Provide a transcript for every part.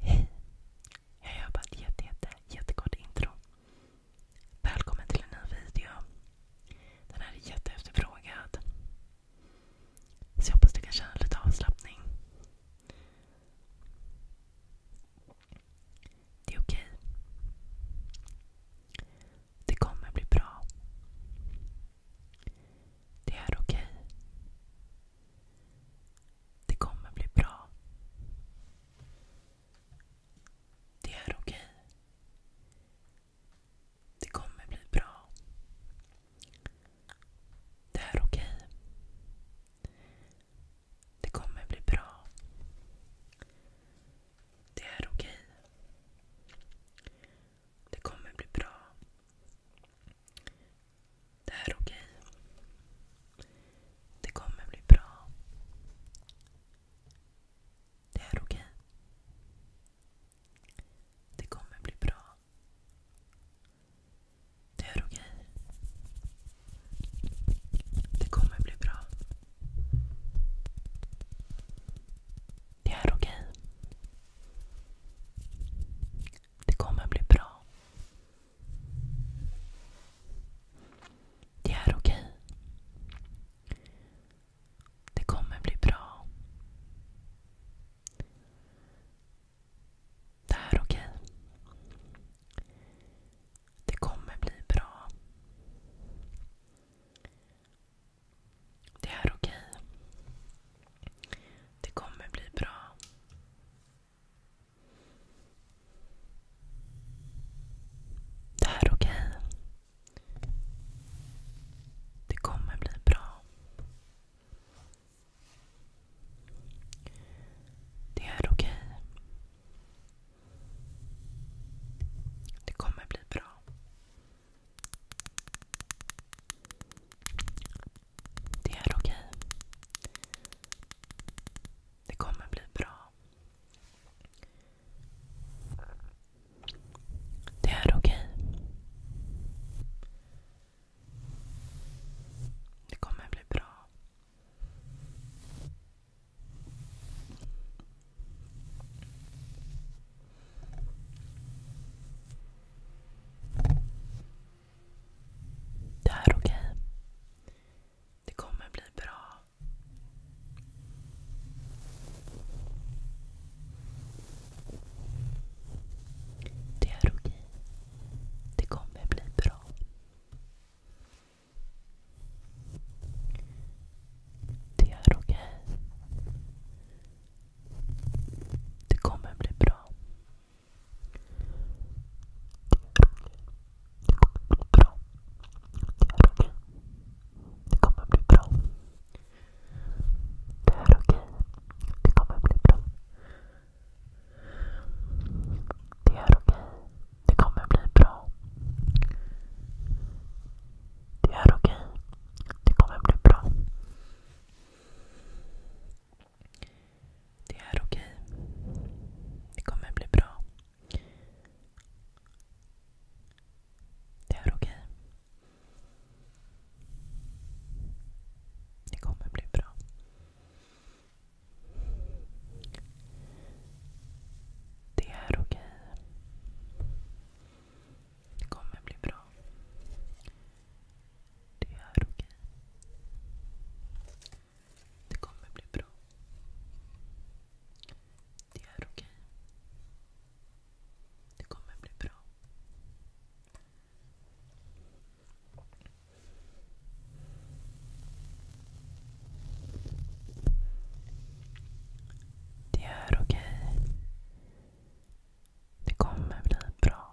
Hej! Jag gör bara ett jätte, jätte, jättekort intro. Välkommen till en ny video. Den här är jätteefterfrågad. Så jag hoppas du kan känna lite avslappning. Det är okej. Det kommer bli bra. Det är okej. Det kommer bli bra. Det är okej. Det kommer bli bra. Det är okej. Det kommer bli bra. Det är okej. Det kommer bli bra. Det här är okej. Det kommer bli bra. Det här är okej. Det kommer bli bra. Det här är okej. Det kommer bli bra. Det här är okej. Det kommer bli bra. Det är okej. Det kommer bli bra. Det är okej. Det kommer bli bra. Det är okej. Det kommer bli bra. Det här är okej. Okay. Det kommer bli bra. Det är okej. Okay. Det kommer bli bra. Det är okej. Det kommer bli bra. Det är okej. Det kommer bli bra. Det här är okej. Okay. Det kommer bli bra. Det är okej. Okay. Det kommer bli bra. Det är okej. Okay. Det kommer bli bra bra. Det är okej. Det kommer bli bra. Det är okej. Det kommer bli bra. Det är okej. Det kommer bli bra. Det är okej. Det kommer bli bra. Det är okej. Det kommer bli bra. Det är okej. Det kommer bli bra. Det är okej. Det kommer bli bra. Det är okej. Det kommer bli bra. Det är okej. Det kommer bli bra. Det är okej. Det kommer bli bra.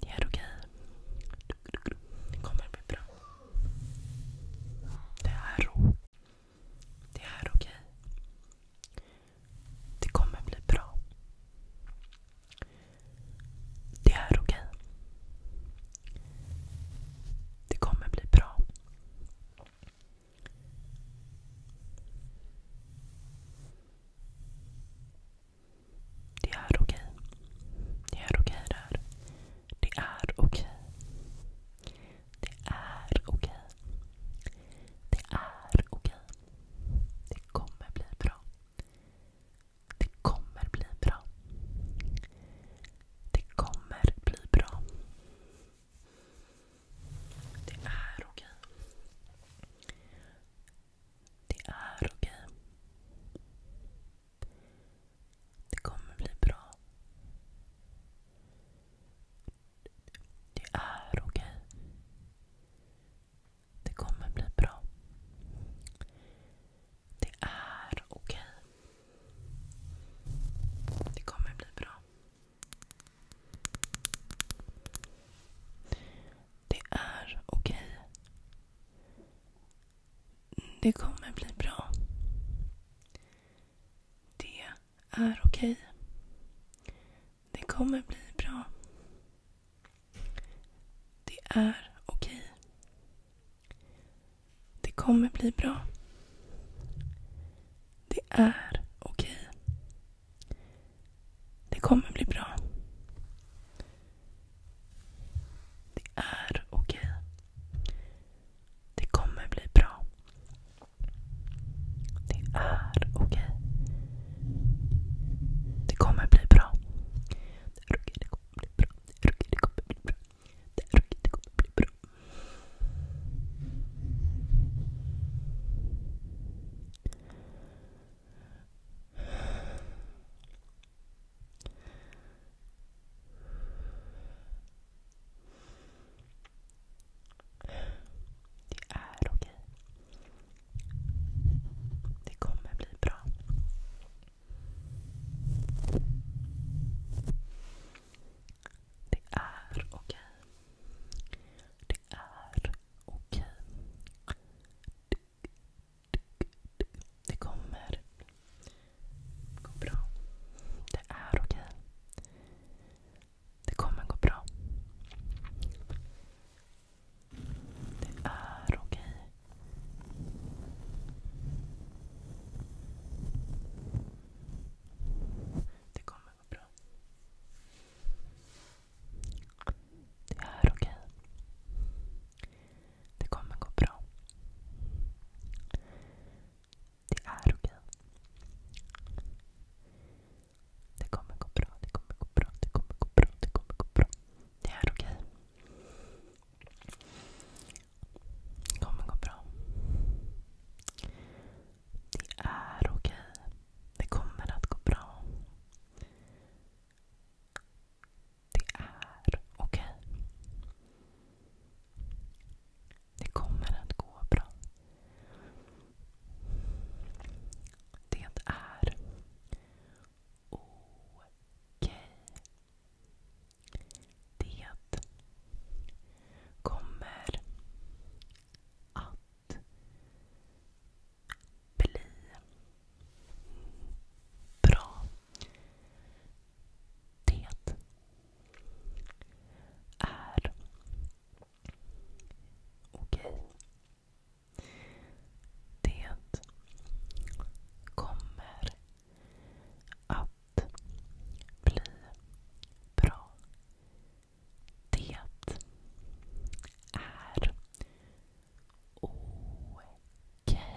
Det är okej. Det kommer bli bra. Det är ro. Det är okej. Det kommer bli bra. Det är okej. Det kommer bli bra. Det är okej. Det är okej det här. Det är okej. Det är okej. Det är okej. Det kommer bli bra. Det kommer bli bra. Det kommer bli bra. Det är okej. Det är okej. Det kommer bli bra. Det är okej. Det kommer bli bra. Det är okej. Det kommer bli bra. Det är okej. Det kommer bli bra. Det är okej. Det kommer bli bra. Det är okej. Det kommer bli bra. Det är okej. Det kommer bli bra. Det är okej. Det kommer bli bra. Det är okej. Det kommer bli bra. Det är okej, det kommer bli bra. Det är okej, det kommer bli bra. Det är okej, det kommer bli bra. Det är okej. Det kommer bli bra. Det är okej. Det är Okej. Det kommer gå bra. Det är okej. Det kommer gå bra. Det är okej. Det kommer men vad bra. Det är okej. Okay. Det kommer gå bra. Det är okej. Okay. Det kommer gå bra, det kommer gå bra, det kommer gå bra, det kommer gå bra. Det är okej. Det kommer gå bra. Det är okej. Det kommer att gå bra. Det är okej. Det kommer att gå bra. Det är okej. Det kommer att bli bra. Det är okej. Det kommer att bli bra. Det är okej. Det kommer att bli okej.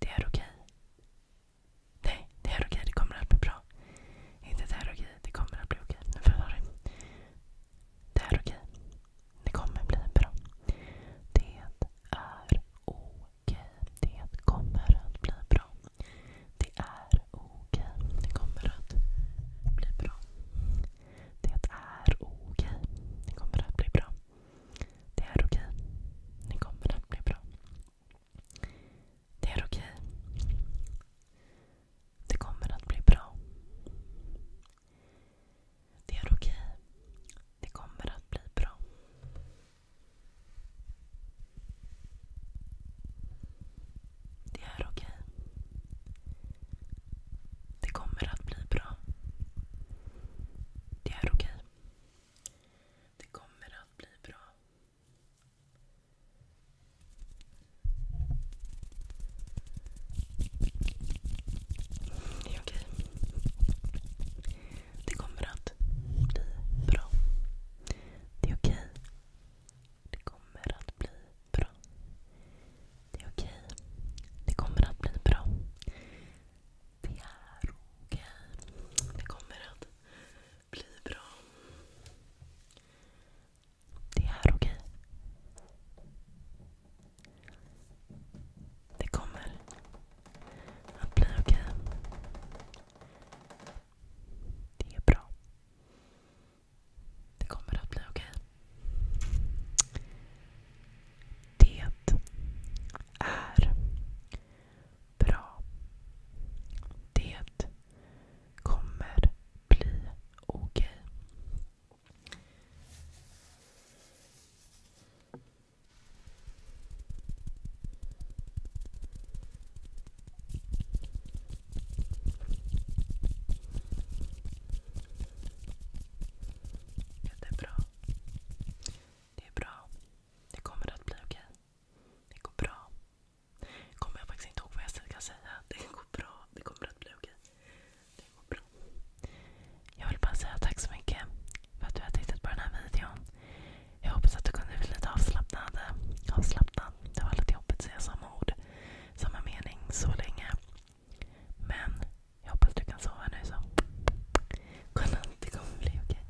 Det är okej. Nej, det är okej. Det kommer att bli bra. Inte det är okej. Det kommer att bli okej. Nu förstår du. Det är okej. Det kommer bli bra. Det är okej. Det kommer att bli bra. Det är okej. Det kommer att bli bra. Det är okej. Det kommer att bli bra. Det är okej. Det kommer att bli bra. Det är okej. Det kommer att bli bra. Det är okej. Det kommer att bli bra. Det är okej. Det kommer att bli bra. Det är okej. Det kommer att bli bra. Det är okej. Det kommer att bli bra. Det är okej. Det kommer att bli bra. Det är okej. Det kommer att bli bra. Det är okej. Det kommer att bli bra. Det är okej. Det kommer att bli okej. Det är bra. Det kommer att bli okej. Det är bra. Det kommer bli okej. Ja, det är bra. Det är bra. Det kommer att bli okej. Det går bra. Kommer jag faktiskt inte ihåg vad jag ska säga. Det går bra. Det kommer att bli okej. Det går bra. Jag vill bara säga tack så mycket för att du har tittat på den här videon. Jag hoppas att du kunde bli lite avslappnad. avslappnad. Det var lite jobbigt att säga samma ord, samma mening så länge. Men jag hoppas du kan sova nu så. Godnatt, det kommer bli okej.